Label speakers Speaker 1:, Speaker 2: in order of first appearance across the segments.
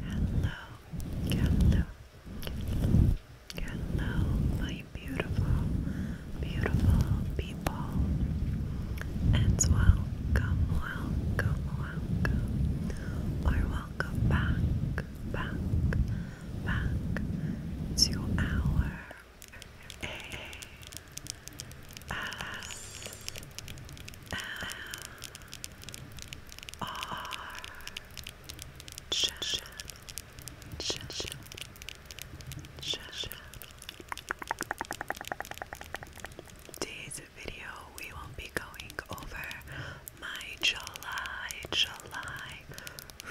Speaker 1: Hello, hello, hello, my beautiful, beautiful people, and welcome, welcome, welcome, or welcome back back, back to our A S M R channel, channel, channel. Today's video, we will be going over my July, July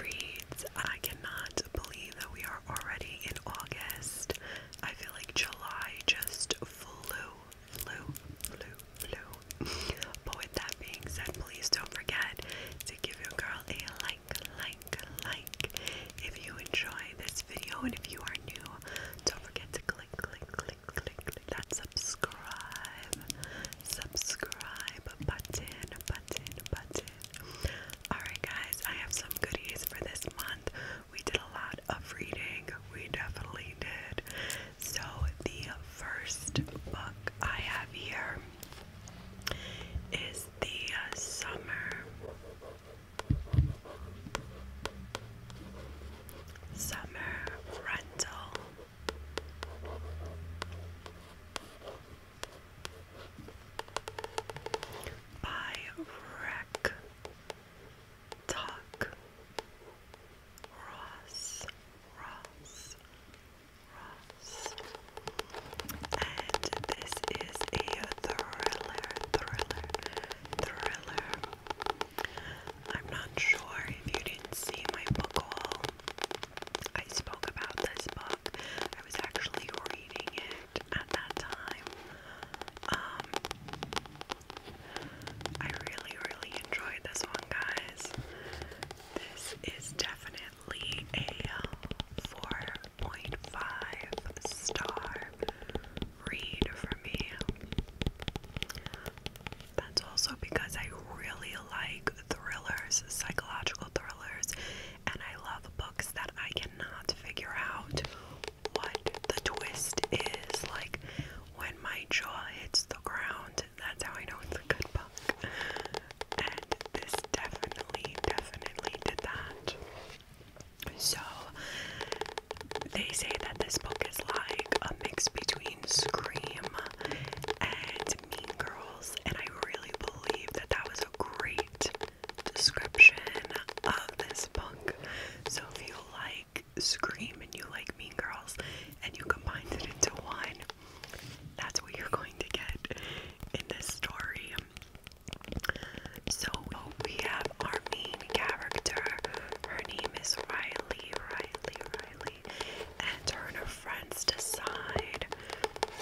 Speaker 1: reads, I cannot believe that we are already in August. I feel like July just flew, flew, flew, flew. But with that being said, please don't forget to give your girl a like, like, like if you enjoy this video and if you are new, don't forget to click, click, click click, that subscribe, subscribe button, button, button. Alright, guys, I have some goodies for this month. We did a lot of reading, we definitely did. So, the first book I have here is The Summer. Summer Rental I wreck talk Ross Ross Ross and this is a thriller thriller thriller I'm not sure if you didn't see my book haul. I spoke about this book. I was actually reading it at that time. Um, I really, really enjoyed this one, guys. This is definitely a uh, 4.5 star read for me. That's also because I really like thrillers, psychological thrillers, and I love books that I cannot figure out what the twist is. Like when my jaw hits the ground, that's how I know it's a good book. And this definitely, definitely did that. So, they say that this book is like a mix between Scream and Mean Girls, and I really believe that that was a great description of this book. So if you like Scream and you like Mean Girls and you combine it into one, that's what you're going to get in this story. So we have our main character. Her name is Riley, Riley, Riley, and her her friends decide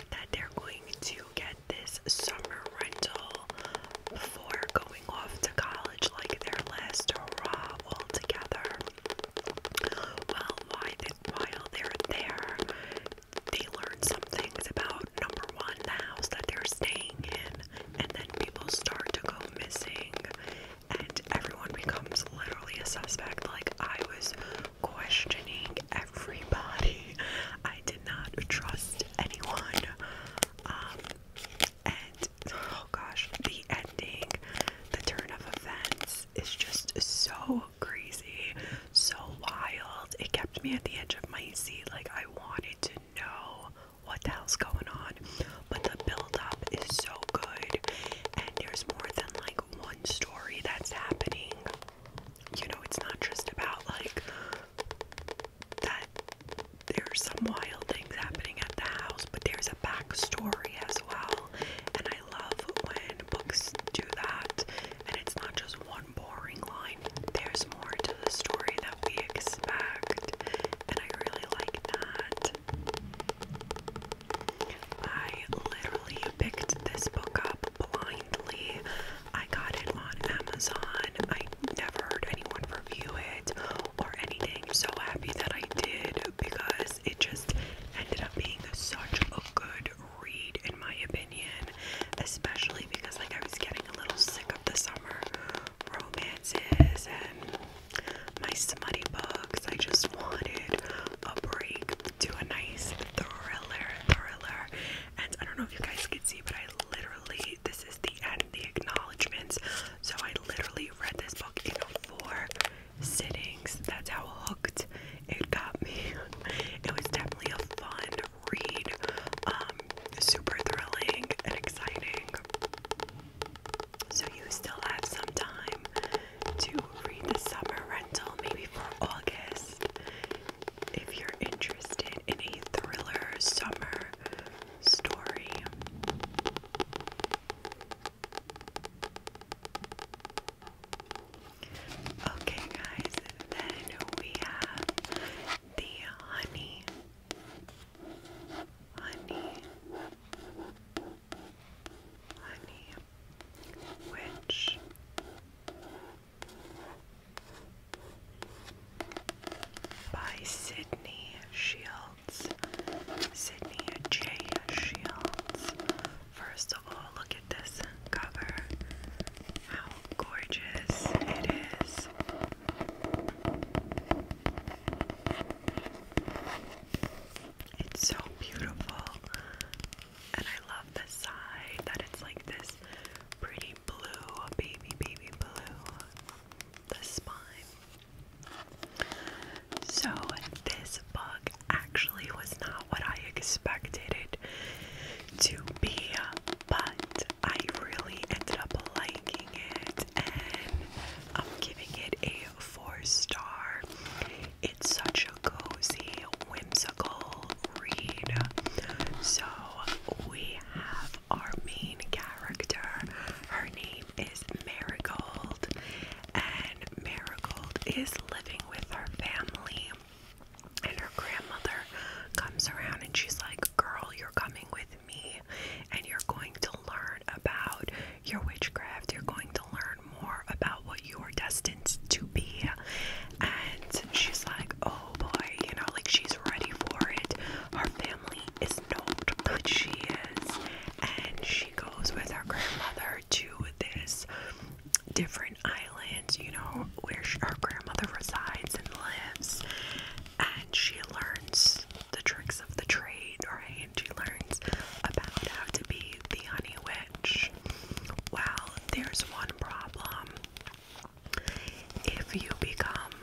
Speaker 1: that they're going to get this summer rental before going off to college like their last hurrah all together. Well, while they're there, they learn some things about number one, the house that they're staying in, and then people start to go missing and everyone becomes literally a suspect. Like, I was questioning everybody, I did not trust anyone. Um, and oh gosh, the ending, the turn of events is just so crazy, so wild. It kept me at the edge of my seat. Like, I wanted to know what the hell's going on but the build is so good, and there's more than like one story that's happening. You know, it's not just about like that there's some wild things happening at the house, but there's a backstory as well. And I love when books do that, and it's not just one boring line, there's more to the story that we expect, and I really like that. I literally picked this book up blindly. I got it on Amazon. I never heard anyone review it or anything. So happy that I did because it just ended up being such a good read, in my opinion. Especially because, like, I was getting a little sick of the summer romances and my smutty books. I just wanted a break to a nice thriller, thriller. And I don't know if you guys can see, but I literally, this is the end, the acknowledgements. So I literally read this book in four sittings. That's how hooked it got me. It was definitely a fun read, um, super thrilling and exciting. So you still have some time to read the summer rental, maybe for August. If you're interested in a thriller summer story. Okay, guys, then we have the honey. Honey honey, which by Sydney Shields, Sydney J. Shields. First of all, look at this cover. How gorgeous it is. It's so beautiful. And I love the side that it's like this pretty blue, baby, baby blue. The spine. So, this book actually was not what I expected it to be, but I really ended up liking it and I'm giving it a four star. It's such a cozy, whimsical read. So we have our main character. Her name is Marigold, and Marigold is living with her family. And her grandmother comes around and she's like, Girl, you're coming with me and you're going to learn about your witchcraft. You're going to learn more about what you are destined to be. And she's like, oh boy, you know, like she's ready for it. Her family is not, but she is. And she goes with her grandmother to this different island, you know, where she, her grandmother resides and lives. And she learns the tricks of the trade, right? she learns about how to be the honey witch. Well, there's one problem. If you become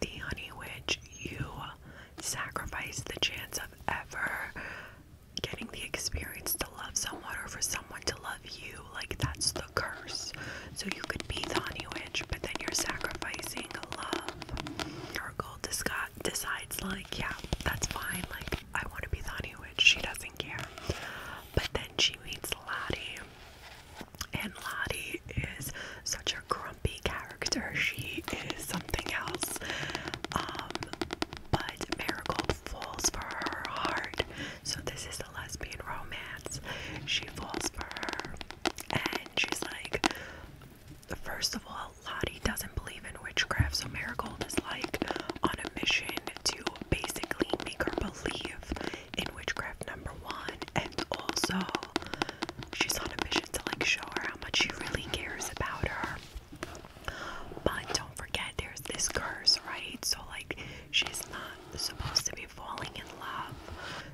Speaker 1: the honey witch, you sacrifice the chance of ever getting the experience to love someone or for someone to love you. Like, that's the curse. So, you could be the honey witch, but then you're sacrificing love. Your gold disguise decides like yeah that's fine like I want to be the Honeywitch she doesn't care but then she meets Lottie and Lottie is such a grumpy character she is something else um, but Marigold falls for her heart so this is a lesbian romance she falls for her and she's like first of all, Lottie doesn't believe in witchcraft, so Marigold is like on a mission to basically make her believe in witchcraft, number one, and also she's on a mission to like show her how much she really cares about her. But don't forget, there's this curse, right? So, like, she's not supposed to be falling in love.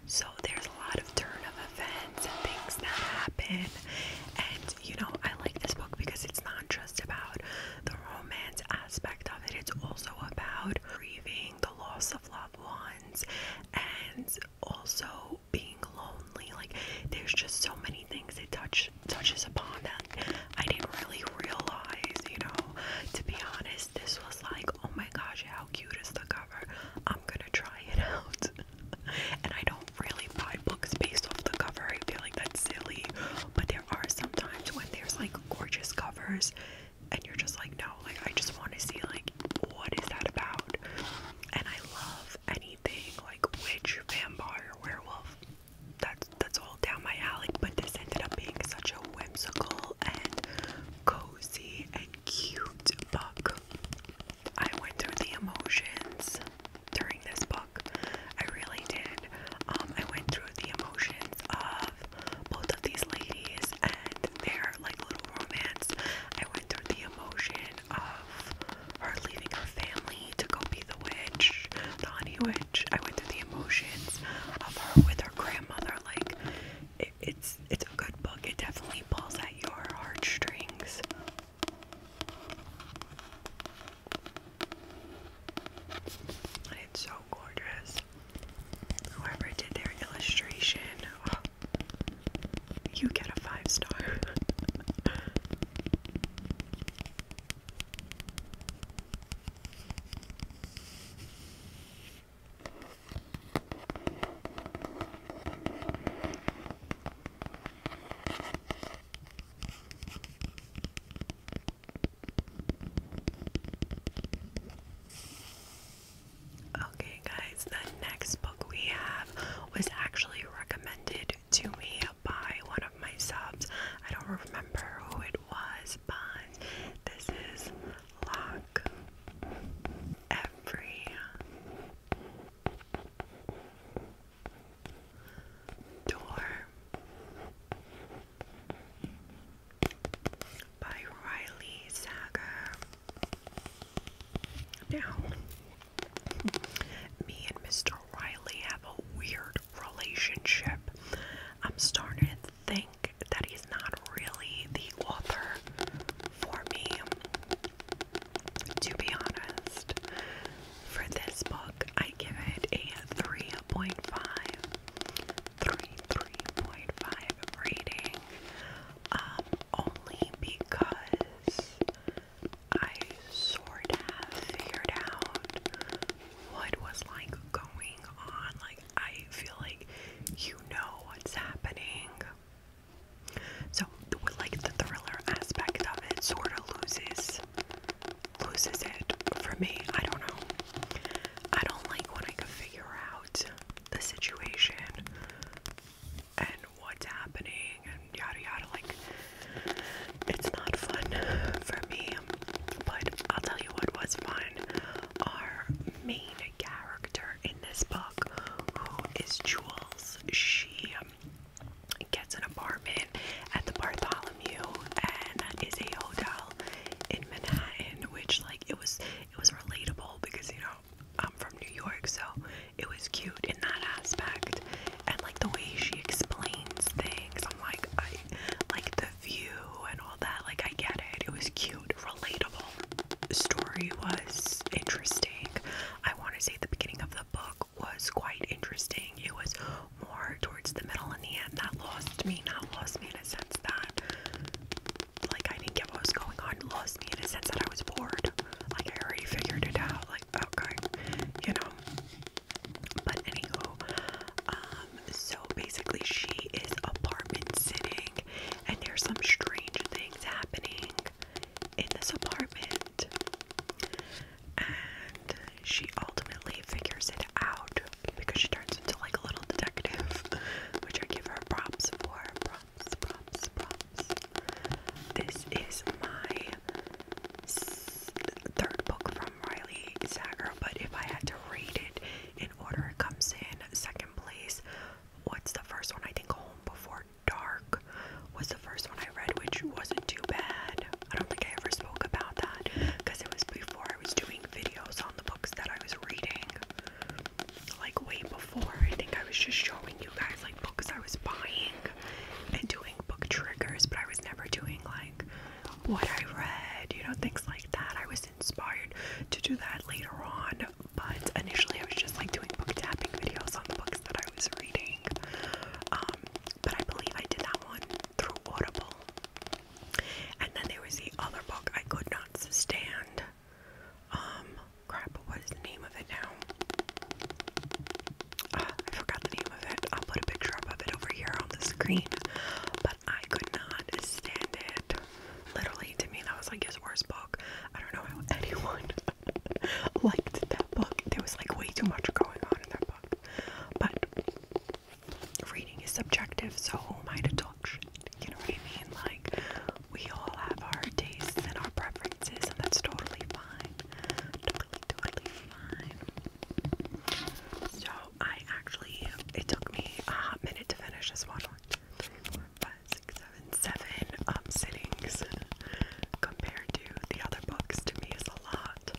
Speaker 1: So, there's a lot of turn of events and things that happen. And you know, I like this book because it's not just about the romance aspect of it, it's also about grieving the loss of loved ones and also being lonely. Like, there's just so many things it touch, touches upon that I didn't really realize, you know. To be honest, this was like, oh my gosh, how cute is the cover? I'm gonna try it out and I don't really buy books based off the cover. I feel like that's silly. But there are sometimes when there's like gorgeous covers and you're just like, no, like I just want to see like what is that about? And I love anything like witch, vampire, werewolf. That's that's all down my alley. But this ended up being such a whimsical and cozy and cute book. I went through the emotions during this book. I really did. Um, I went through the emotions of both these ladies and their like little romance. I went through the emotion of her leaving her family to go be the witch, the honey witch. I went through the emotions of her with her grandmother. Like it's it's a good book. It definitely pulls at your heartstrings it's so gorgeous. Whoever did their illustration, oh, you get a five star. Okay, guys, the next book we have was actually recommended to me by one of my subs. I don't remember who it was, but this is Lock Every Door by Riley Sager. Now, me and Mr. Riley have a weird relationship. I'm starting to think that he's not really the author for me. To be honest, for this book, I give it a 3.5. 3.5 rating. Um, only because I sort of figured out what was like going on. Like, I feel like you know what's happening. So like the thriller aspect of it sort of loses loses it for me. I don't know. I don't like when I can figure out the situation and what's happening and yada yada. Like it's not fun for me. But I'll tell you what was fun. Our main character in this book, who is Jules, she um, gets an apartment at the Bartholomew and is a hotel in Manhattan, which like it was it was relatable because you know I'm from New York, so it was cute in that aspect. And like the way she explains things, I'm like I like the view and all that. Like I get it. It was cute, relatable. story was interesting. I want to say the beginning of the book was quite interesting. It was more towards the middle and the end that lost me. Not lost me in a sense that, like, I didn't get what was going on. Lost me in a sense that I was bored. Like, I already figured it out. Like, okay, you know. But anywho, um, so basically she is apartment sitting, and there's some strange things happening in this apartment. And she ultimately figures it out because she turns into like a little detective, which I give her props for. Props, props, props. This is my third book from Riley Sager, but if I had to rate it in order, it comes in second place. What's the first one? I think Home Before Dark was the first one I read, which wasn't too bad. I don't think I ever spoke about that because it was before I was doing videos on the books that I was reading. Like, way
Speaker 2: before. I think I was just showing you guys, like, books I was buying and doing book triggers, but I was never doing, like,
Speaker 1: what I read, you know, things like that. I was inspired to do that later on, but initially I was just, like, doing book tapping videos on the books that I I was reading. Um, but I believe I did that one through Audible. And then there was the other book I could not stand. Um, crap, what is the name of it now? Ah, I forgot the name of it. I'll put a picture of it over here on the screen. But I could not stand it. Literally, to me, that was like his worst book. I don't know how anyone liked that book. There was like way too much going on in that book. But reading is subjective, so who am I to talk You know what I mean? Like, we all have our tastes and our preferences, and that's totally fine. Totally, totally fine. So, I actually, it took me a hot minute to finish this one and seven um, sittings compared to the other books to me is a lot.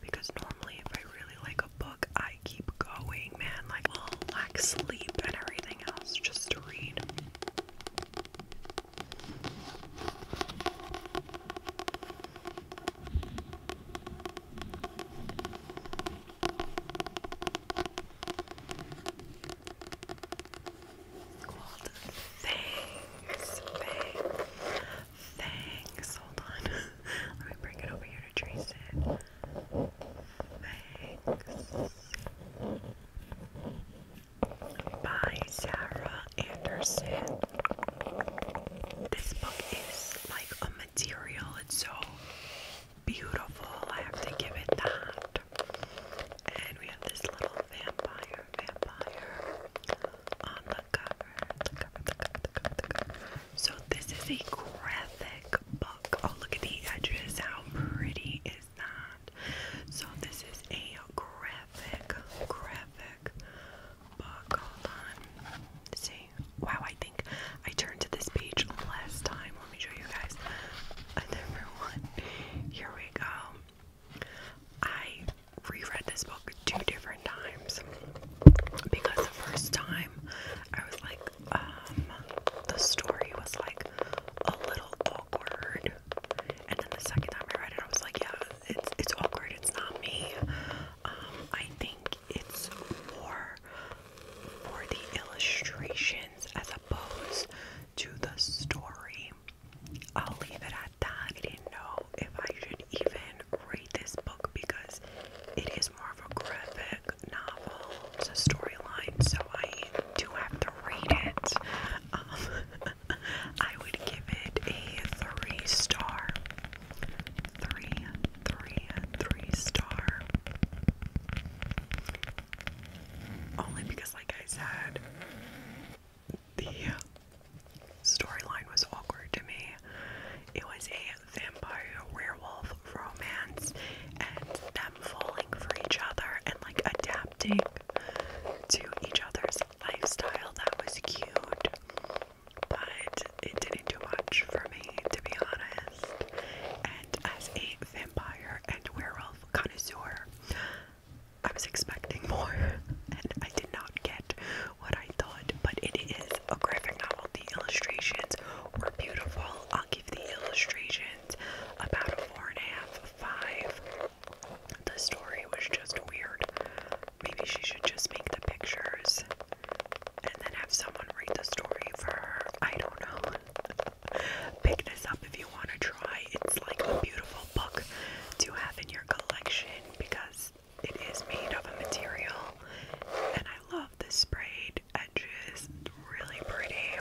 Speaker 1: Because normally, if I really like a book, I keep going, man. Like, I'll lack sleep and everything else just to read. It's called Fangs. Hold on. Let me bring it over here to trace it. By Sarah Anderson. This book is like a material, it's so beautiful. I have to give it that. And we have this little vampire, vampire on the cover. The cover, the cover, the cover, the cover. So this is a graphic book. Oh, look at the edges. How pretty is that? So this is a graphic, graphic book. Hold on. See? Wow, I think I turned to this page last time. Let me show you guys a different one. Here we go. I reread this book two different times because the first time I was like, um, the story was like a little awkward, and then the second time I read it, I was like, yeah, it's it's awkward. It's not me. Um, I think it's more for the illustrations as opposed to the story. I'll leave it at that. I didn't know if I should even read this book because it is more of a graphic novel. It's a storyline, so I do have to read it. Um, I would give it a three star. Three, three, three star. Only because, like I said, the storyline was awkward to me. It was a vampire werewolf romance and them falling for each other and like adapting to each other's lifestyle. That was cute, but it didn't do much for me to be honest. And as a vampire and werewolf connoisseur, I was expecting more, and I did not get what I thought, but it is a graphic novel. The illustrations were beautiful. I'll give the illustrations about a four and a half, five. The story was just weird. Maybe she should just make the pictures and then have someone read the story for her. I don't know. Pick this up if you want to try. It's like a beautiful book to have in your collection because it is made of a material and I love the sprayed edges. It's really pretty.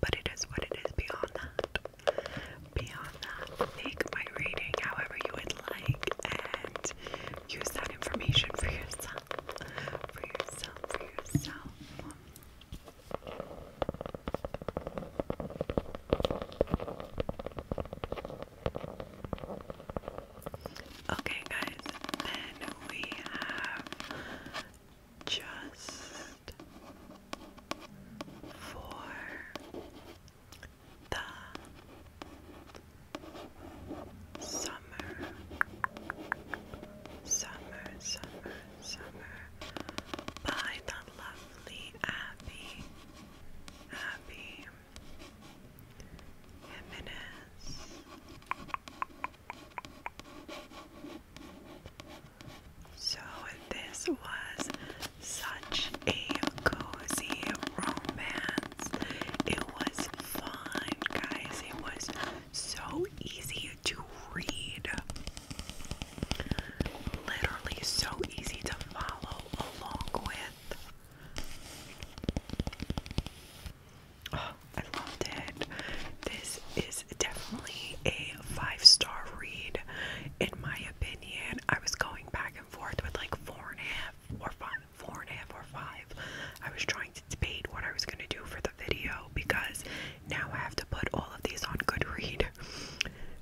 Speaker 1: But it is what it is beyond that. Beyond that, make my reading however you would like and use that information for yourself. For yourself, for yourself. Okay, guys, then we have just for the summer, summer, summer, summer by the lovely Abby. Abby Jimenez. So this was such a cozy romance. It was fun, guys. It was so easy to read. Literally, so easy to follow along with. Oh, I loved it. This is definitely a five star read, in my opinion. I was going back and forth with like four and a half or five, four and a half or five. I was trying to debate what I was going to do for the video because now I have to put all of these on Goodread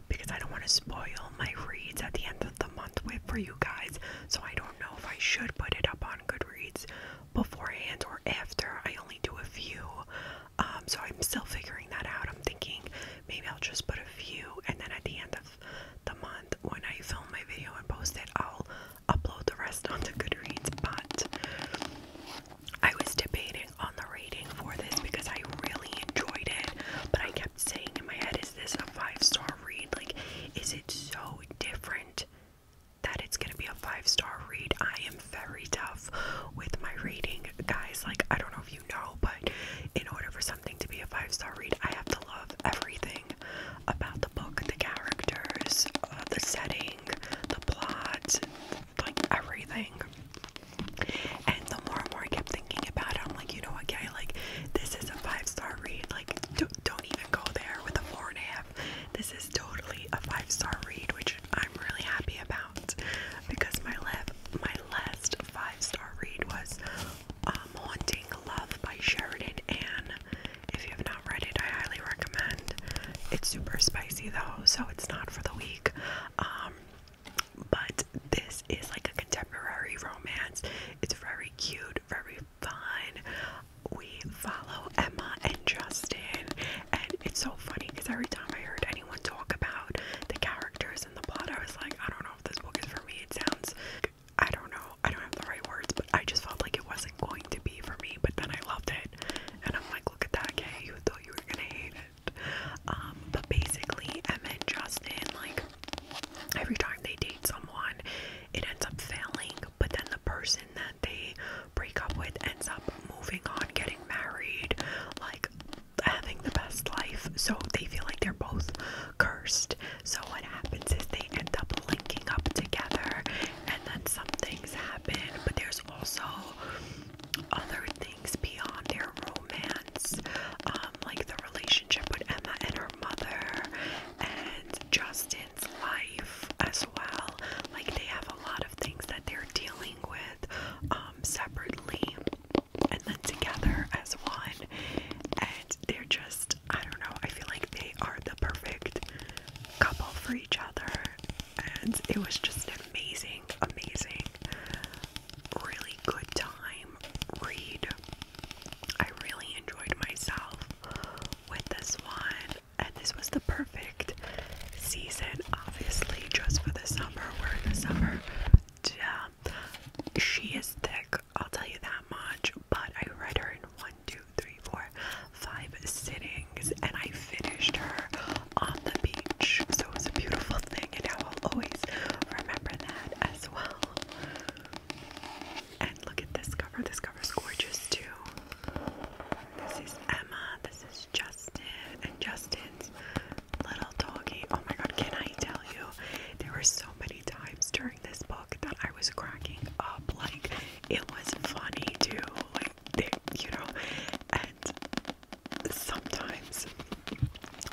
Speaker 1: because I don't want to spoil my reads at the end of the month with for you guys. So I don't know if I should put it up on Goodreads beforehand or after. I only do a few. Um, so I'm still figuring that out. I'm thinking maybe I'll just put a few and then at the end of the month when I film my video and post it, I'll upload the rest onto Goodreads. But I was debating on the rating for this because I really enjoyed it, but I kept saying in my head, is this a five star read? Like, is it so different that it's gonna be a five star read? I am very tough with my reading, guys. Like, I don't know if you know, but in order for something to be a five star read, I have to love everything about the book the characters, uh, the setting, the plot, like everything. And the more and more I kept thinking about it, I'm like, you know what, guy? Like, this is a five-star read. Like, don't, even go there with a four and a half. This is totally a five-star read, which I'm really happy about because my le my last five-star read was um, *Haunting Love* by Sheridan Anne. If you have not read it, I highly recommend. It's super spicy though, so it's not for the weak. Um, but this is like a contemporary romance. It's very cute, very fun. We follow Emma and Justin, and it's so funny because every time I heard anyone talk about the characters and the plot, I was like, I don't know if this book is for me. It sounds, I don't know, I don't have the right words, but I just felt like it wasn't going to be for me. But then I loved it, and I'm like, look at that, okay? You thought you were gonna hate it. Um, but basically, Emma and Justin, like, every time they date someone, it ends up failing, but then the person that they break up with ends up moving on, getting married, like, having the best life. So they feel like they're both cursed. So what happens is they end up linking up together, and then some things happen, but there's also other things beyond their romance, um, like the relationship with Emma and her mother, and Justin's life as well. Like they have a lot of things that they're dealing with um, separately and then together as one. And they're just, I don't know, I feel like they are the perfect couple for each other and it was just an amazing, amazing, really good time read. I really enjoyed myself with this one, and this was the perfect season, obviously, just for the summer. We're in the summer. Yeah. She is thick, I'll tell you that much, but I read her in one, two, three, four, five sittings, and I finished her on the beach. So it was a beautiful thing, and I will always remember that as well. And look at this cover. This cover is gorgeous too. This is Emma. This is Justin and Justin's little doggy. Oh my god, can I tell you? There were so many times during this book that I was cracking up. Like it was funny too you know and sometimes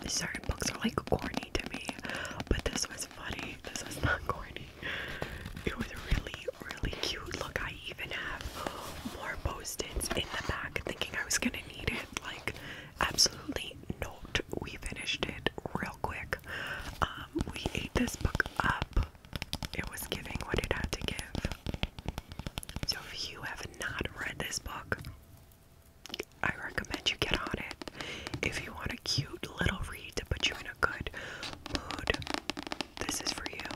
Speaker 1: certain books are like corny to me but this was funny this was not corny it was really really cute look I even have more post-its in the back thinking I was gonna need it like absolutely not we finished it real quick um we ate this book up it was giving what it had to give so if you have not read this book, I recommend you get on it. If you want a cute little read to put you in a good mood, this is for you.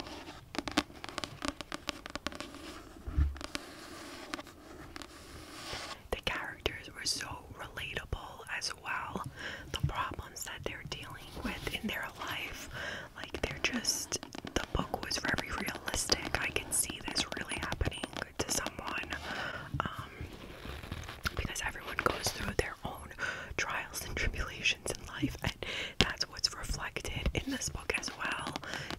Speaker 1: The characters were so relatable as well. The problems that they're dealing with in their life, like they're just the book was very realistic. I can see this really happening to someone. Um because everyone goes through their own trials and tribulations in life and that's what's reflected in this book as well.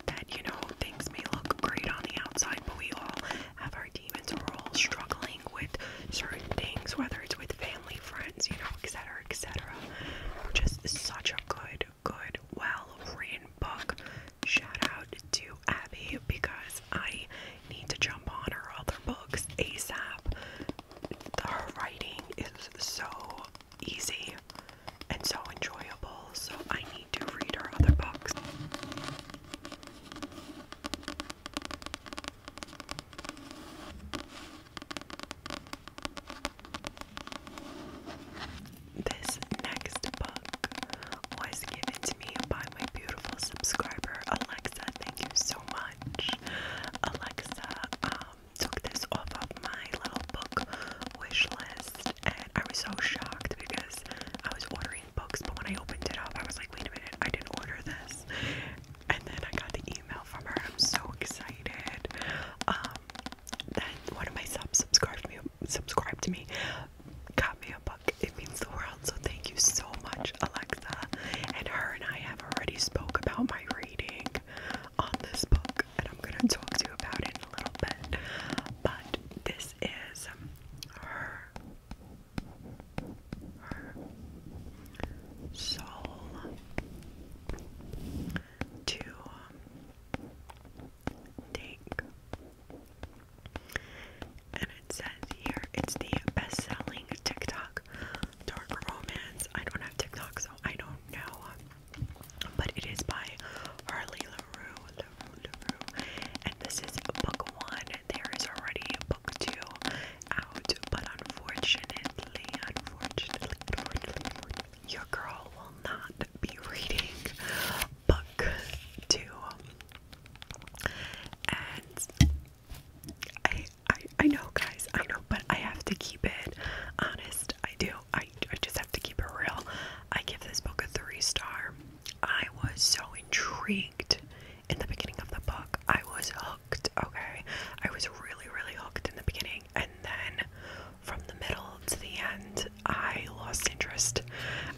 Speaker 1: That you know things may look great on the outside, but we all have our demons. We're all struggling with certain things, whether it's with family, friends, you know, etc. etc. Just such a good good, well written book. Shout out to Abby because I need to jump on her other books ASAP. Her writing is so easy and so enjoyable, so I need to read her other books. This next book was given to me by my beautiful subscriber Alexa. Thank you so much. Alexa um, took this off of my little book wish list, and I was so shocked because I was ordering books, but when I opened it up, I was like, wait a minute, I didn't order this. And then I got the email from her. I'm so excited um, that one of my subs subscribed me subscribed to me got me a book it means the world so thank you so much Alexa and her and I have already spoke about my reading on this book and I'm gonna talk to you about it a little bit but this is um, her her soul to um, take. And it says here it's the best selling TikTok dark romance. I don't have TikTok, so I don't know. But it is by Harley LaRue. And this is book one. There is already book two out, but unfortunately, unfortunately, unfortunately, your girl will not be reading book two. And I, I, I know, guys, I know, but I have to keep it honest. I do. I, I just have to keep it real. I give this book a three star. I was so intrigued in the beginning of the book. I was hooked, okay? I was really, really hooked in the beginning. And then from the middle to the end, I lost interest.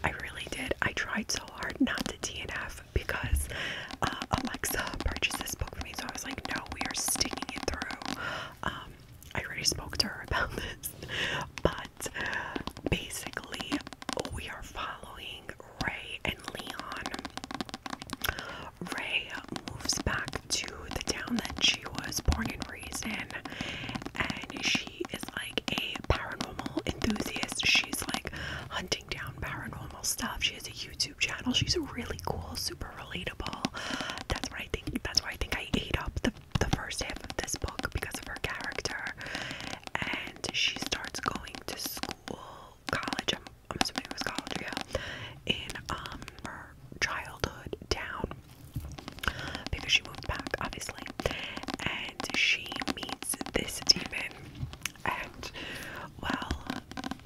Speaker 1: I really did. I tried so hard not to DNF because uh, Alexa purchased this book for me, so I was like, no, we are sticking it through. Um, I already spoke to her about this, but basically, we are following Ray and Leon Ray moves back to the town that she was born and raised in, and she is like a paranormal enthusiast. She's like hunting down paranormal stuff. She has a YouTube channel. She's really cool, super relatable. That's what I think. That's why I think I ate up the the first half of this book because of her character. And she starts going to school, college. I'm, I'm assuming it was college, yeah. In um, childhood town because she moved back, obviously. And she meets this demon, and well,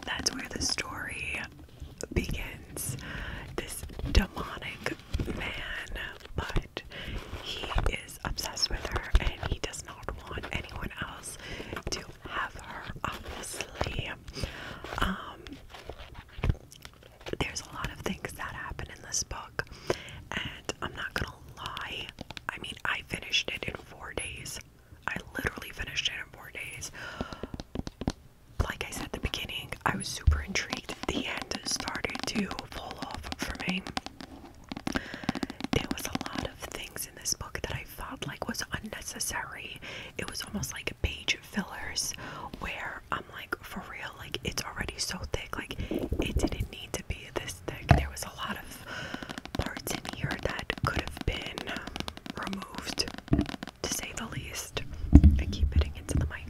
Speaker 1: that's where the story begins. This demonic man, but he is obsessed with her and he does not want anyone else to have her, obviously. Um, there's a lot of things that happen in this book, and I'm not gonna lie. I mean, I finished it in four days. I literally finished it in four days. Like I said at the beginning, I was super intrigued. The end started to fall off for me. There was a lot of things in this book that I felt like was unnecessary. It was almost like page fillers where I'm like, for real, like it's already so thick, like it didn't need to be this thick. There was a lot of parts in here that could have been um, removed, to say the least. I keep hitting into the mic.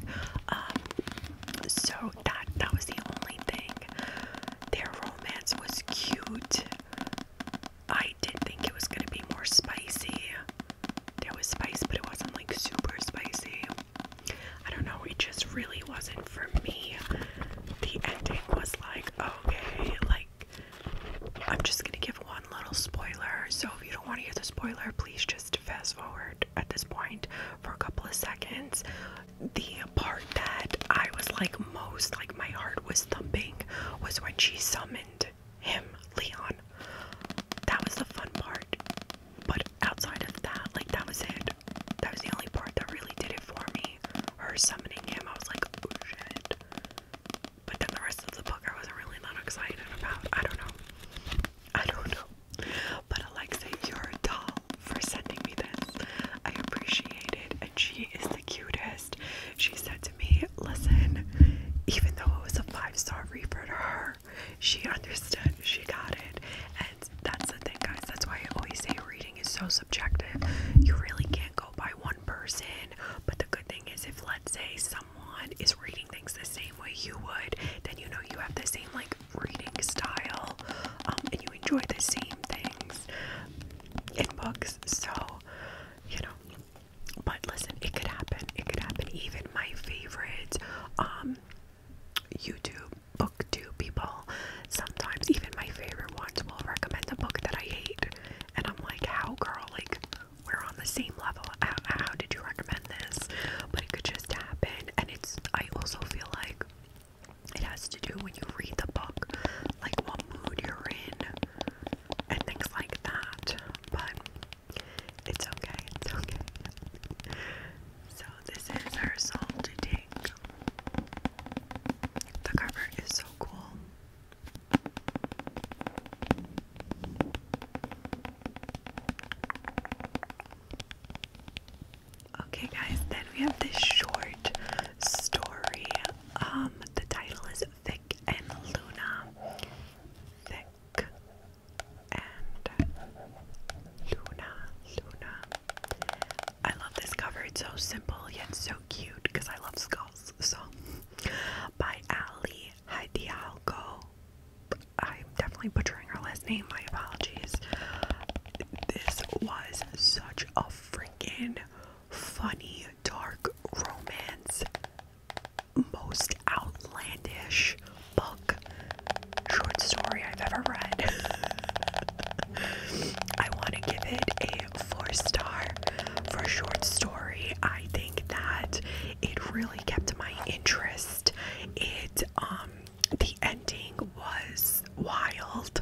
Speaker 1: Um, so that that was the only thing. Their romance was cute. I did not think it was gonna be more spicy. There was spice, but it wasn't like super spicy. I don't know, it just really wasn't for me. The ending was like, okay, like, I'm just gonna give one little spoiler. So if you don't wanna hear the spoiler, please just fast forward at this point for a couple of seconds. The part that I was like most, like, my heart was thumping was when she summoned him, Leon. That was the fun part. But outside of that, like that was it. That was the only part that really did it for me. Her summoning him, I was like, oh shit. But then the rest of the book I wasn't really that excited about. I don't know. I don't know. But Alexa, you're a doll for sending me this. I appreciate it. And she is the cutest. She said Listen, even though it was a five star reaper to her, she understood, she got it. And that's the thing, guys. That's why I always say reading is so subjective. You really can't go by one person. But the good thing is, if let's say someone is reading things the same way you would, then you know you have the same like reading style um, and you enjoy the same things in books. So, you know, but listen, it could happen. It could happen. Even my favorite um YouTube booktube people sometimes even my favorite ones will recommend a book that I hate. And I'm like, how girl, like we're on the same level. How, how did you recommend this? But it could just happen and it's I also feel like it has to do when you read the book, like what mood you're in, and things like that, but it's okay, it's okay. So, this is our salt to take. The cover is so cool. Okay, guys, then we have this short story. Um, the title is Thick and Luna. Thick and Luna. Luna. I love this cover. It's so simple yet so cute because I love skulls. So, by Ali Hadialgo. I'm definitely butchering her last name. My apologies. This was such a freaking funny dark romance most outlandish book short story I've ever read. I want to give it a four star for a short story. I think that it really kept my interest. It um, the ending was wild.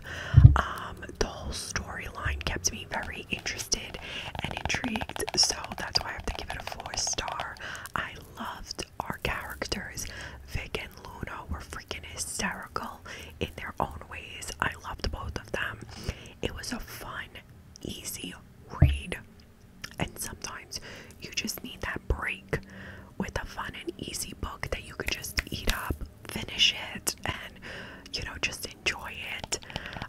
Speaker 1: Um, the whole storyline kept me very interested and intrigued, so that's why I have to give it a four star. I loved our characters. Vic and Luna were freaking hysterical in their own ways. I loved both of them. It was a fun, easy read, and sometimes you just need that break with a fun and easy book that you could just eat up, finish it, and you know, just enjoy it.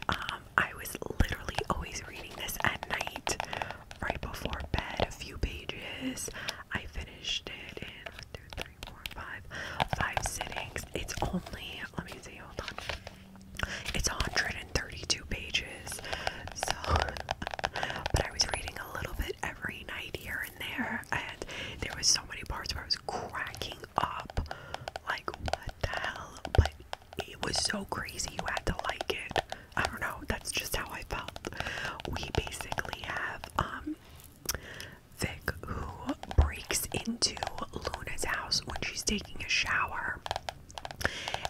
Speaker 1: Um, I was literally always reading this at night, right before bed, a few pages. I finished it in three, four, five, five sittings. It's only, let me see, hold on. It's 132 pages. So, but I was reading a little bit every night here and there, and there was so many parts where I was cracking up, like what the hell, it was so crazy you had to like it. I don't know, that's just how I felt. We basically have um Vic who breaks into Luna's house when she's taking a shower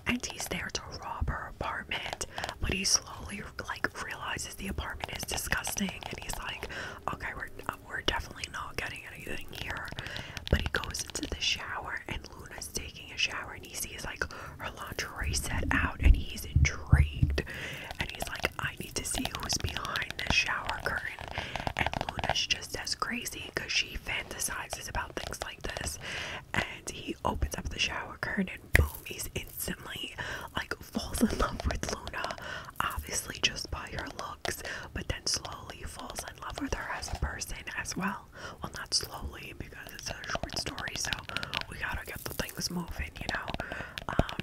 Speaker 1: and he's there to rob her apartment, but he slowly like realizes the apartment is disgusting and he's like, okay, we're we're definitely not getting anything here. But he goes into the shower and Luna's taking a shower and he sees like her lingerie set out and he's intrigued and he's like, I need to see who's behind this shower curtain. And Luna's just as crazy because she fantasizes about things like this. And he opens up the shower curtain and boom, he's instantly like falls in love with Luna, obviously just by her looks, but then slowly falls in love with her as a person as well. Well, not slowly because it's a short story, so we gotta get the things moving, you know. Um,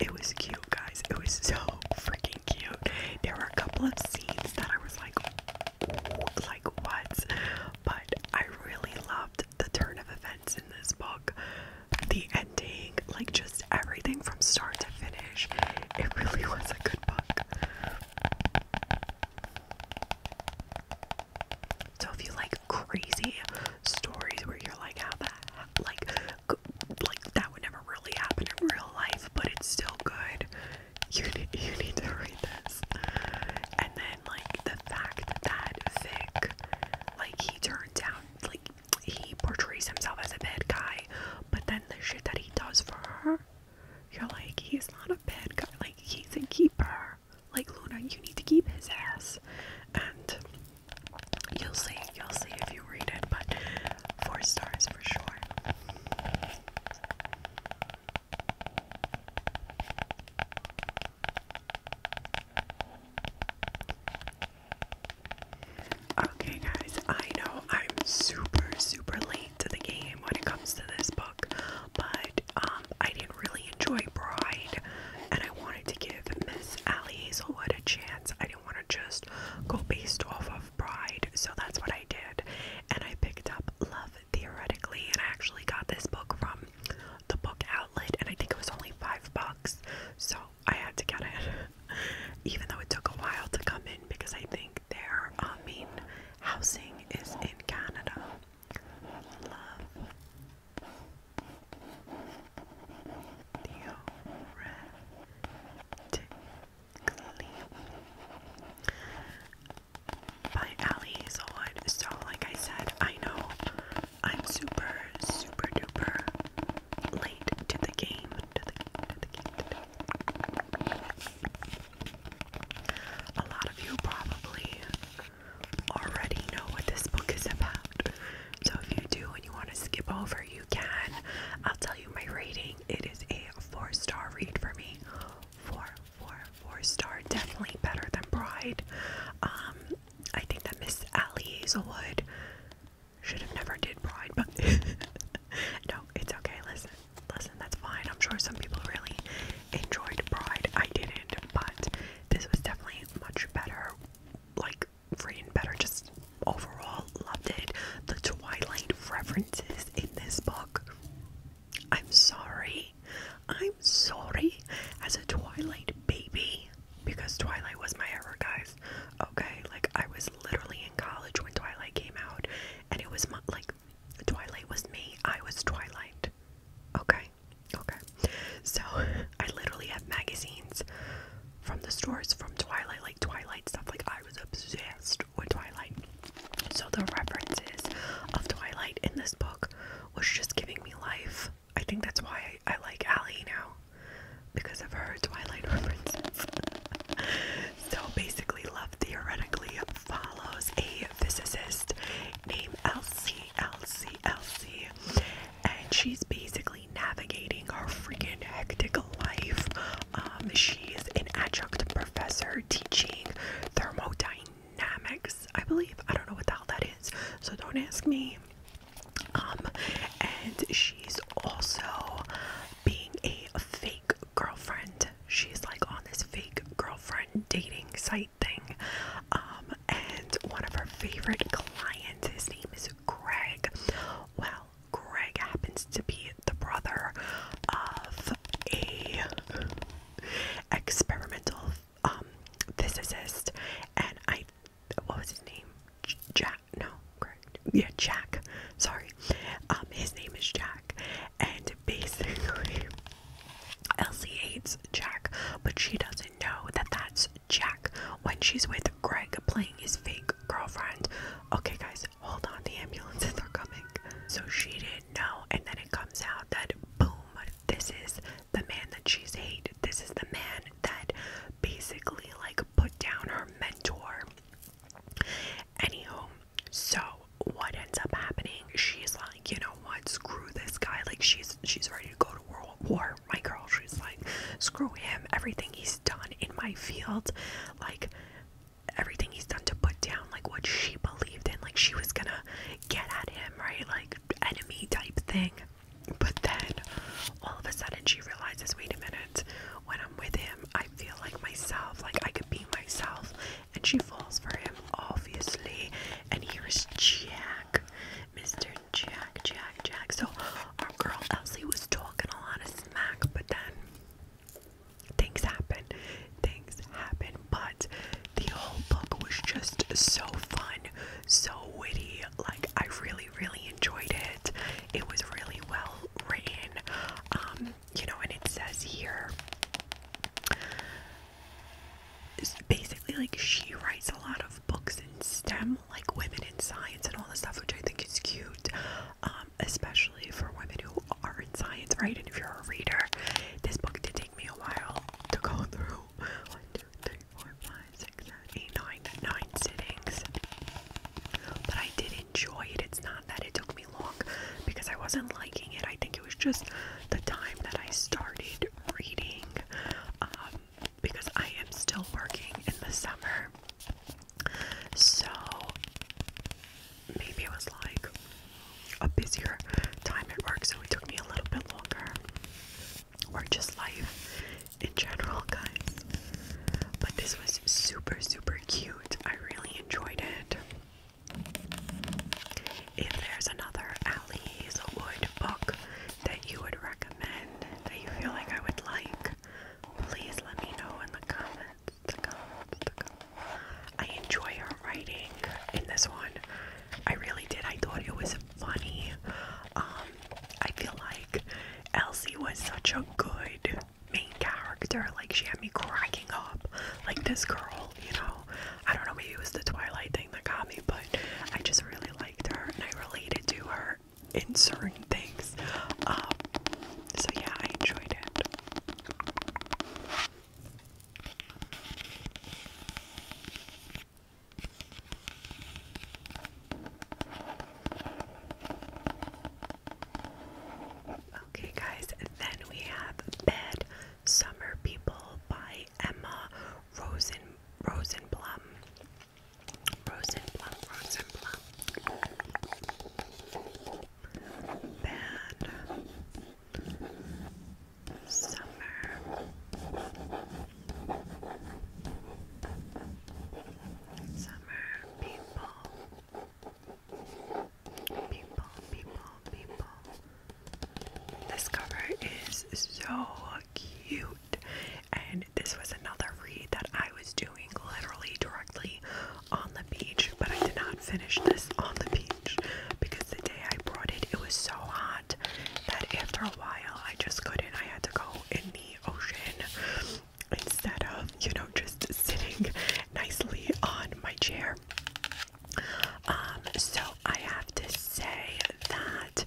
Speaker 1: it was cute, guys. It was so freaking cute. There were a couple of scenes that I was like, like what? But I really loved the turn of events in this book. The ending, like just everything from start to finish. It really was a good book. So if you like crazy stories where you're like, how that, like, like that would never really happen in real life, but it's still good. You need, you need to read this. And then like the fact that Vic, like he turns out, like he portrays himself as a bad guy, but then the shit that he does for her you're like, he's not a bad guy. Like, he's a keeper. Like, Luna, you need to keep his ass. And you'll see, you'll see if you read it, but four stars for sure. Okay, guys, I know I'm super, super late to the game when it comes to this book, but um, I didn't really enjoy Bride, and I wanted to give Miss Allie Hazelwood a chance. I didn't want to just go based off of Bride, so that's what I did, and I picked up Love Theoretically, and I actually got this book from the book outlet, and I think it was only five bucks, so I had to get it, even though it took a while to come in because I think think I mean housing is in Canada. Love theoretically by Ali Solid. So like I said, I know I'm super super duper late to the game a lot of you probably already know what this book is about. So if you do and you want to skip over, you can. I'll tell you my rating. It is a four star read for me. Four, four, four star. Definitely better than Pride. Um, I think that Miss Allie Hazelwood should have never did Pride, but no, it's okay. Listen, listen, that's fine. I'm sure some people really enjoyed Pride. I didn't, but this was definitely much better. Like, freaking better. Just overall, loved it. The Twilight references in this book. I'm sorry. I'm sorry. As a Twilight baby, because Twilight was my era, guys. Okay, like I was literally in college when Twilight came out, and it was my, like Twilight was me. I was Twilight. Okay, okay. So I literally have magazines from the stores from Twilight, like Twilight stuff. Like I was obsessed with Twilight. So the references of Twilight in this book was just giving me life. I think that's why I, like Allie now because of her Twilight references. So basically, love theoretically follows a physicist named Elsie, Elsie, Elsie, and she's basically navigating her freaking hectic life. Um, she's an adjunct professor teaching thermodynamics, I believe. I don't know what the hell that is, so don't ask me. Um, and she's also being a fake girlfriend. She's like on this fake girlfriend dating site thing. Um, and one of her favorite clients, his name is Greg. Well, Greg happens to be the brother of a experimental um, physicist and I what was his name? Jack no, correct? Yeah, Jack. Sorry. Um, his name is Jack, and basically, Elsie hates Jack, but she doesn't know that that's Jack when she's with Greg playing his fake girlfriend. Okay, guys, hold on, the ambulances are coming. So she didn't know, and then it comes out that boom, this is the man that she's hated. This is the man that basically like put down her mentor Anywho, so what ends up happening? She's like, you know what? Screw this guy. Like she's she's ready to go to world war. My girl, she's like, screw him. Everything he's done in my field, like everything he's done to put down like what she believed in. Like she was gonna get at him, right? Like enemy type thing. But then all of a sudden she realizes, wait a minute, when I'm with him, I feel like myself. Like I could be myself. And she falls for him, obviously. And he was Jack, Mr. Jack, Jack, Jack. So our girl Elsie was talking a lot of smack, but then things happen. Things happen. But the whole book was just so fun, so witty. Like I really, really enjoyed it. It was really well written. Um, you know, and it says here basically like she writes a lot of books in STEM, like women in science and all this stuff, which I think is cute, um, especially for women who are in science, right? And if you're a reader, this book did take me a while to go through. One, two, three, four, five, six, seven, eight, nine, nine sittings. But I did enjoy it. It's not that it took me long because I wasn't liking it. I think it was just the time that I started reading um, because I am still working in the summer. So maybe it was like a busier time at work, so it took me a little bit longer. Or just life in general, guys. But this was super, super cute. I really enjoyed it. If there's another Ali's Wood book that you would recommend, that you feel like I would like, please let me know in the comments. I enjoy her writing in this one. I really did. I thought it was funny. Um, I feel like Elsie was such a good main character. Like she had me cracking up. Like this girl, you know. I don't know, maybe it was the Twilight thing that got me, but I just really liked her and I related to her in certain things. Um, so yeah, I enjoyed it. Okay, guys, then we have Bed Summer People by Emma Rosen Rosenblum. Rosenblum, Rosenblum. Bad summer. Summer people people, people, people. This cover is so cute, and this was another read that I was doing literally directly on the beach, but I did not finish this on the beach because the day I brought it, it was so hot that after a while I just couldn't. I had to go in the ocean instead of, you know, just sitting nicely on my chair. Um, so I have to say that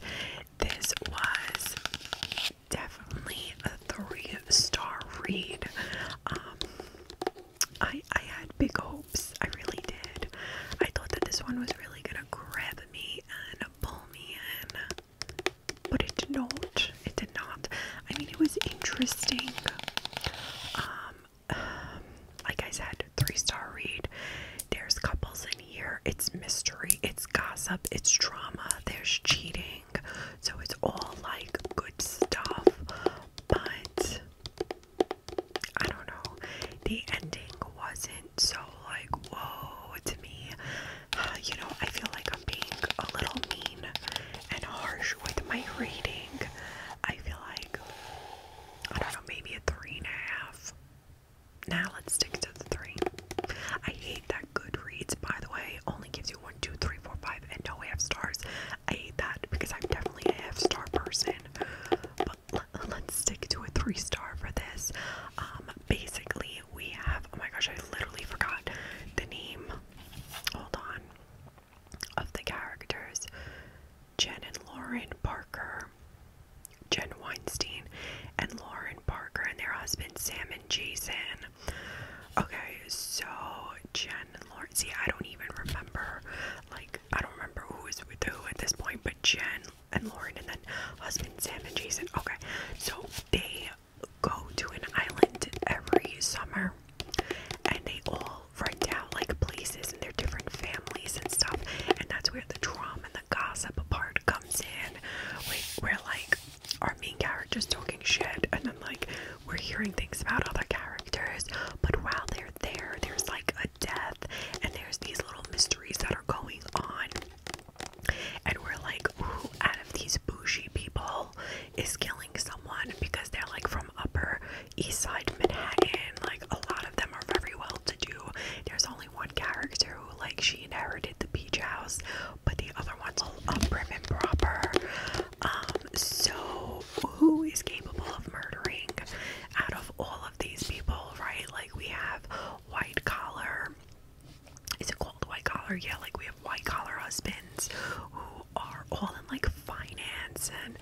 Speaker 1: this was definitely a three star read. Um, I, I had big hopes, I really did. I thought that this one was really gonna grab me and pull me in but it did not. It did not. I mean, it was interesting. Um, like I said, three star read. There's couples in here. It's mystery. It's gossip. It's drama. There's cheating. So it's all like good stuff. But I don't know. The ending wasn't so like whoa to me. Uh, you know, I feel like I'm being a little mean and harsh with my reading, I feel like I don't know, maybe a three and a half. Now let's stick to the three. I hate that Goodreads, by the way, only gives you one, two, three, four, five, and no half stars. I hate that because I'm definitely a half star person. But let's stick to a three star for this. Um, basically, we have oh my gosh, I literally forgot the name. Hold on of the characters Jen and Lauren Parker, Jen Weinstein, and Lauren Parker and their husband Sam and Jason. Okay, so Jen and Lauren. See, I don't even remember. Like, I don't remember who is with who at this point, but Jen and Lauren, and then husband Sam and Jason. Okay, so they go to an island every summer and they all run down like places and they're different families and stuff and that's where the drama and the gossip part comes in where like our main character's talking shit and then like we're hearing things about other characters but while they're there there's like a death and there's these little mysteries that are going on and we're like who out of these bougie people is killing someone because they're like from upper east side Manhattan. Like a lot of them are very well to do. There's only one character who like she inherited the beach house, but the other one's all up prim and proper. Um, so who is capable of murdering out of all of these people, right? Like we have white collar white collar. Yeah, like we have white collar husbands who are all in like finance and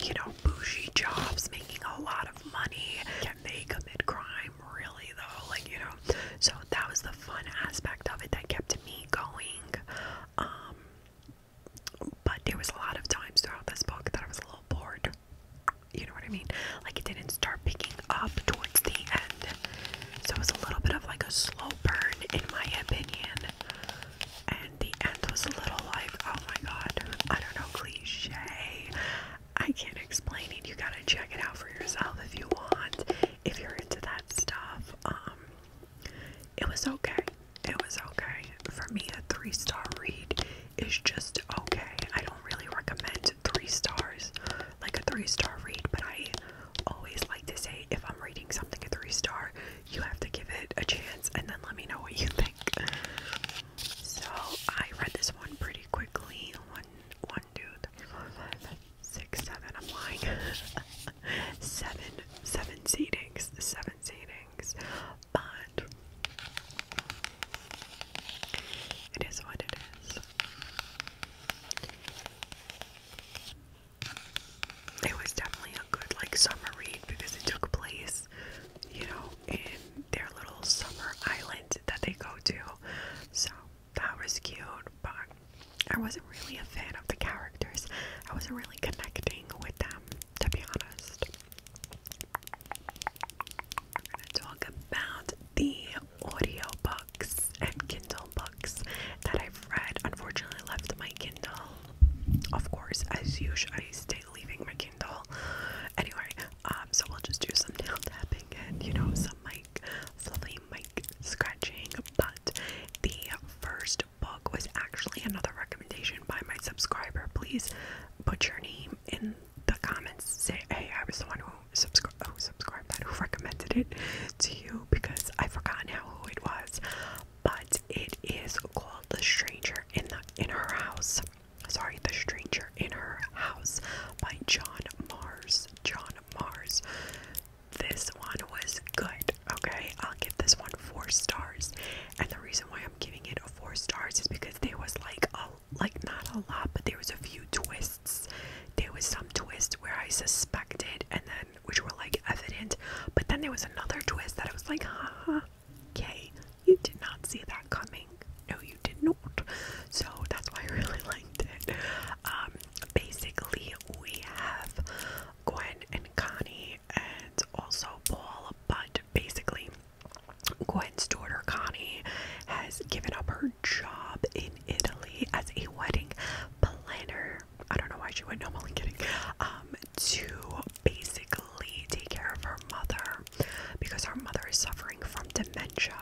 Speaker 1: you know bougie jobs, making a lot of money. Can they commit crime? Really though, like you know. So that was the fun aspect of it that kept me going. Um, but there was a lot of times throughout this book that I was a little bored. You know what I mean? Like it didn't start picking up towards the end. So it was a little bit of like a slow burn, in my opinion. And the end was a little like, oh my god, I don't know, cliche. I can't explain it. You gotta check it out for yourself if you want. If you're into that stuff, um, it was okay. It was okay. For me, a three star read is just okay. I don't really recommend three stars, like a three star read, but I always like like to say if I'm rating something a three star, you have to give it a chance and then let me know what you think. So I read this one pretty quickly. One, one, two, three, four, five, six, seven. I'm lying. seven, seven seatings, seven seatings. But it is what it is it was definitely a good like summer read because it took place, you know, in their little summer island that they go to. So that was cute, but I wasn't really a fan of the characters. I wasn't really connecting with them, to be honest. We're gonna talk about the audiobook books and Kindle books that I've read. Unfortunately, I left my Kindle. Of course, as usual, I stay leaving my Kindle. Anyway, um, so we'll just do some nail tapping and you know some Mike, fluffy Mike scratching. But the first book was actually another recommendation by my subscriber. Please put your name in the comments. Say, hey, I was the one who subscribed. Oh, subscribed that who recommended it to you because i forgot forgotten who it was, but it is called The Stranger in the in Her House. Sorry, The Stranger in Her House by John Mars. John Mars. This one was good. Okay, I'll give this one four stars. And the reason why I'm giving it four stars is because there was like a like not a lot, but there was a few twists. There was some twist where I suspected, and then which were like evident. But then there was another twist that I was like, "Ha ha! okay, you did not see that coming. No, you did not. So that's why I really liked it. Um, basically, we have Gwen and Connie and also Paul, but basically, Gwen's daughter Connie has given up her job in Italy as a wedding planner. I don't know why she went. No, I'm only kidding. Um, to basically take care of her mother because her mother is suffering from dementia.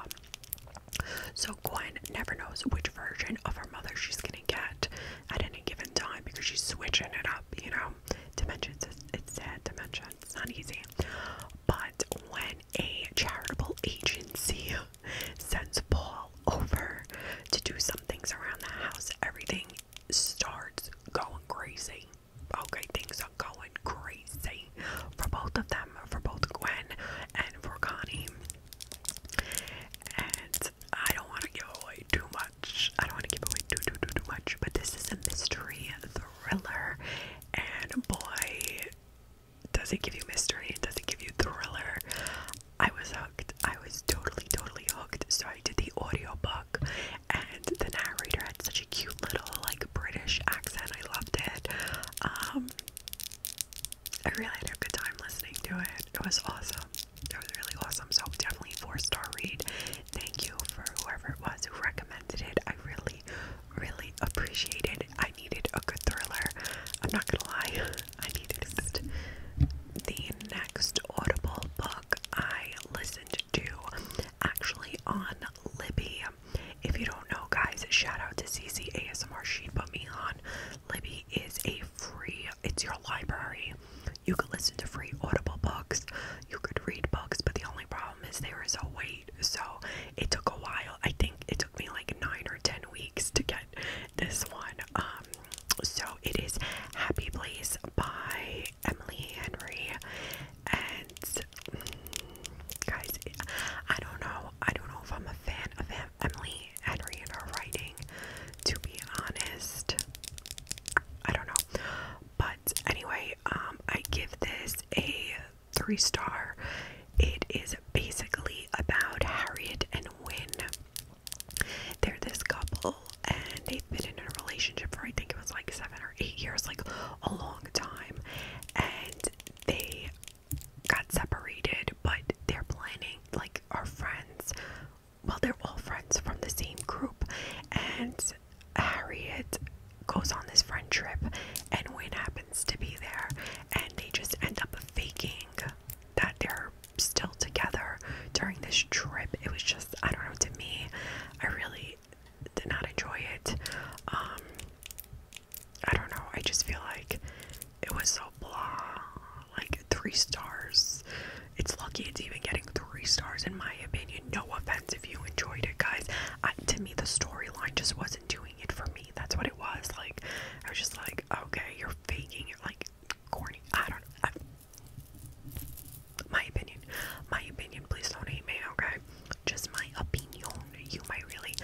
Speaker 1: So Gwen never knows which version of her mother she's gonna get at any given time because she's switching it up. You know, dementia. It's, it's sad dementia. It's not easy. But when a charitable agency sends Paul over to do some things around the house. Everything starts going crazy. Okay, things are going crazy for both of them, for both Gwen and for Connie. And I don't want to give away too much. I don't want to give away too, too, too, too much. But this is a mystery thriller, and boy, does it give you mystery? Does it give you thriller? I was hooked. I was totally, totally hooked. So I did the audio book, and the narrator had such a cute little like British accent. I loved it. Um, I really had a good time listening to it. It was awesome. It was really awesome. So definitely four star read. Thank you for whoever it was who recommended it. I really, really appreciated it. I needed a good thriller. I'm not gonna lie. I need it. The next Audible book I listened to actually on Libby. If you don't know, guys, shout out to CC ASMR. She put me on. Libby is a free, it's your library. You could listen to free Audible books, you could read books, but the only problem is there is a wait. So it took a while. I think it took me like nine or ten weeks to get this one. Um, so it is Happy Place by Emily Henry, and mm, guys, I don't know. I don't know if I'm a fan of Emily Henry and her writing. To be honest, I don't know. But anyway, um, I give this a three star. It is basically about Harriet and Win they're this couple and they've been in a relationship for I think it was like seven or eight years, like a long time. And they got separated, but they're planning, like, our friends. Well, they're all friends from the same group. And Harriet goes on this friend trip, and Wynne happens to be there, and they just end up faking that they're still together during this trip. It was just, I don't know, to me, I really did not enjoy it. Um, I don't know, I just feel like it was so blah. Like three stars. It's lucky it's even getting three stars, in my opinion. No offense if you enjoyed it, guys. to me, the storyline just wasn't doing it for me. That's what it was. Like, I was just like, okay, you're faking it. Like, corny. I don't know. I, my opinion. My opinion. Please don't hate me, okay? Just my opinion. You might really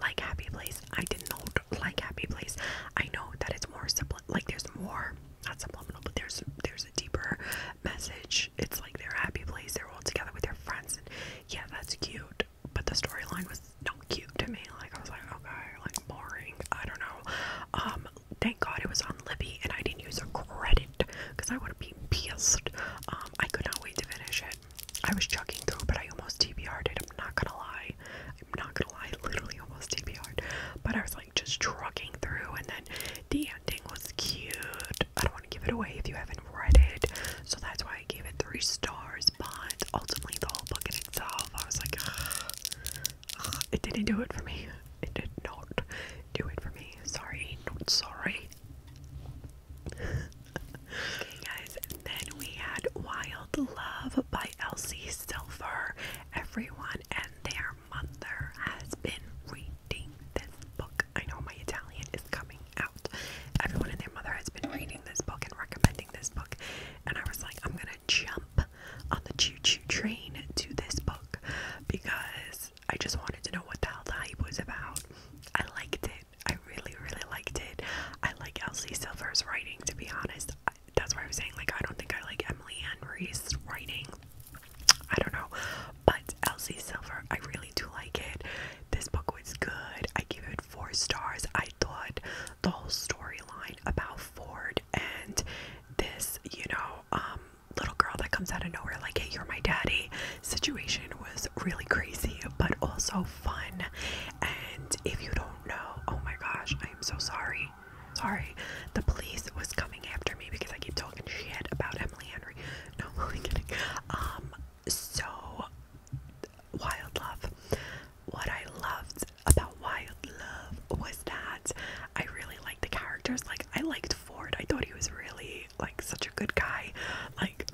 Speaker 1: like Happy Place. I did not like Happy Place. I know that it's more subliminal. Like, there's more. Not subliminal, but there's there's a deeper message. It's like they're Happy Place. They're all together with their friends. yeah, that's cute. But the storyline was just not cute to me. Like I was like, okay, like boring. I don't know. Um, thank God it was on Libby and I didn't use a credit because I would have been pissed. Um, I could not wait to finish it. I was chugging through, but I almost TBR'd it. I'm not gonna lie. I'm not gonna lie. I literally almost TBR'd. But I was like just trucking through, and then the ending was cute. I don't want to give it away if you haven't read it, so that's why I gave it three stars but ultimately the whole book in itself, I was like, it didn't do it for me. It did not do it for me. Sorry, not sorry. okay, guys, then we had Wild Love by Elsie Silver. Everyone and their mother has been reading this book. I know my Italian is coming out. Everyone and their mother has been reading this book and recommending this book and I was like, I'm gonna jump on the choo choo train to this book because I just wanted to know what the hell the hype was about. I liked it. I really, really liked it. I like Elsie Silver's writing, to be honest. that's why I was saying, like, I don't think I like Emily Ann Reese's writing. I don't know. But Elsie Silver, I really do like it. This book was good. I give it four stars. I thought the whole storyline about Ford and this, you know, um, little girl that comes out of nowhere, like, hey, you're my daddy situation was really crazy, but also fun. And if you don't know, oh my gosh, I am so sorry. Sorry, the police was coming after me because I keep talking shit about Emily Henry. No, i kidding. Um, so wild love. What I loved about Wild Love was that I really liked the characters. Like I liked Ford. I thought he was really like such a good guy. Like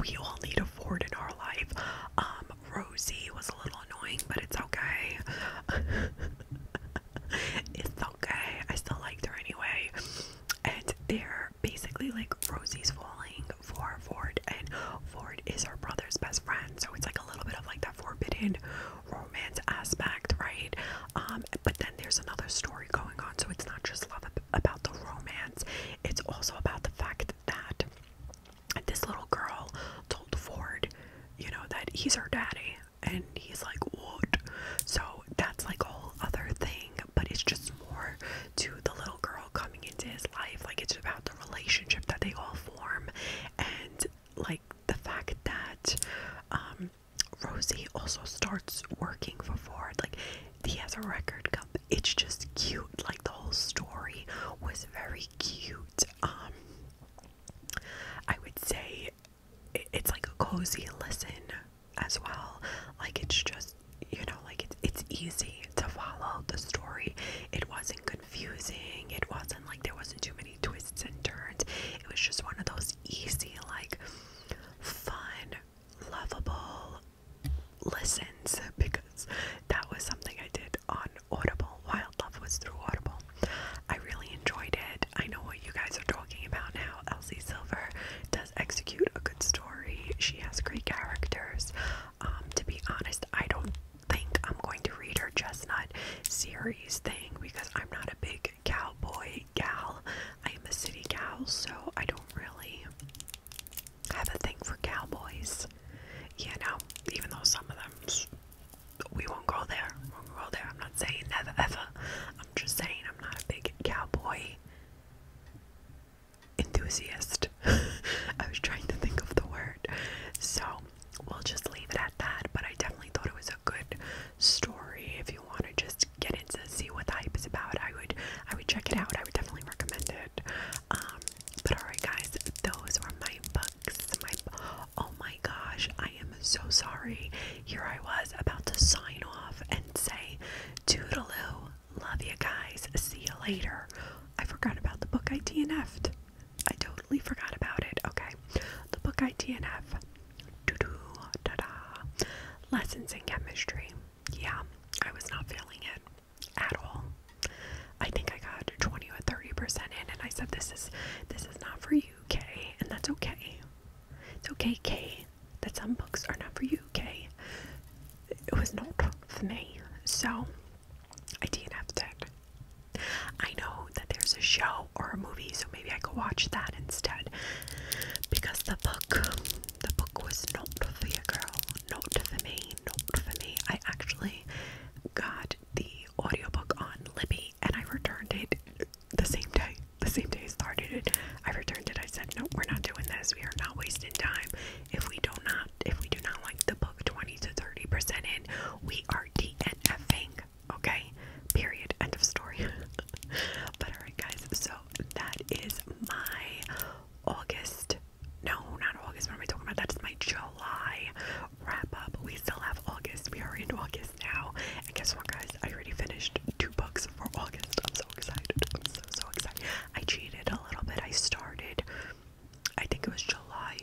Speaker 1: we all need a Ford in our life. Um, Rosie was a little annoying, but it's okay. it's okay. I still liked her anyway. And they're basically like Rosie's falling for Ford, and Ford is her brother's best friend, so it's like a little bit of like that forbidden romance aspect, right? Um, but then there's another story going on, so it's not just love about the romance, it's also about the fact that this little girl told Ford, you know, that he's her daddy, and he's like, What? So that's like a whole other thing, but it's just more to the little girl coming into his life. Like, it's about the relationship that they all form, and like the fact that um, Rosie also starts working for Ford. Like, he has a record company. It's just cute. Like, the whole story was very cute. Um, I would say it's like a cozy listen as well. Like, it's just you know, like it's it's easy to follow the story. It wasn't good confusing. It wasn't like there wasn't too many twists and turns. It was just one of those easy, like fun, lovable listens because that was something I did on Audible. Wild Love was through Audible. I really enjoyed it. I know what you guys are talking about now. Elsie Silver does execute a good story. She has great characters. Um, to be honest, I don't think I'm going to read her Chestnut series thing because I'm not a big cowboy gal. I'm a city gal, so I don't really have a thing for cowboys. You know, even though some of them, we won't go there. We won't go there. I'm not saying never ever. I'm just saying I'm not a big cowboy enthusiast. I was trying to think of the word. So we'll just leave it at that. But I definitely thought it was a good story. If you want to just get into see what the hype is about, I would I would check it out. I would definitely recommend it. Um, but alright guys, those are my books. My oh my gosh, I am so sorry. Here I was about to sign off and say toodaloo. Love you guys. See you later. I forgot about the book I DNF'd. I totally forgot about it. Okay. The book ITNF. Doo doo da da. Lessons in chemistry. Yeah, I was not feeling it at all. I think I got 20 or 30% in and I said this is this is not for you, Kay, and that's okay. It's okay, Kay, that some books are not for you, Kay. It was not for me. So I dnf I know that there's a show or a movie, so maybe I could watch that instead. Because the book, the book was not for your girl, not for me, not for me. I actually got the audiobook on Libby and I returned it the same day. The same day I started it. I returned it. I said, no, we're not doing this. We are not wasting time. If we do not, if we do not like the book 20 to 30% in, we are DNFing, okay? Period. End of story. but alright guys, so that is my August. No, not August. What am I talking about? That's my July wrap up. We still have August. We are in August now. And guess what guys? I already finished two books for August. I'm so excited. I'm so so excited. I cheated a little bit. I started I think it was July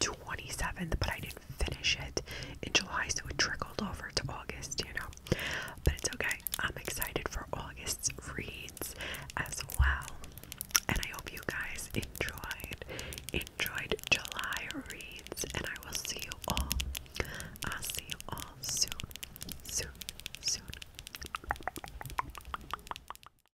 Speaker 1: 27th, but I didn't finish it in July, so it trickled over to August, you know. But it's okay. I'm excited for August's reads as well. And I hope you guys enjoyed enjoyed July reads and I will see you all. I'll see you all soon. Soon. Soon.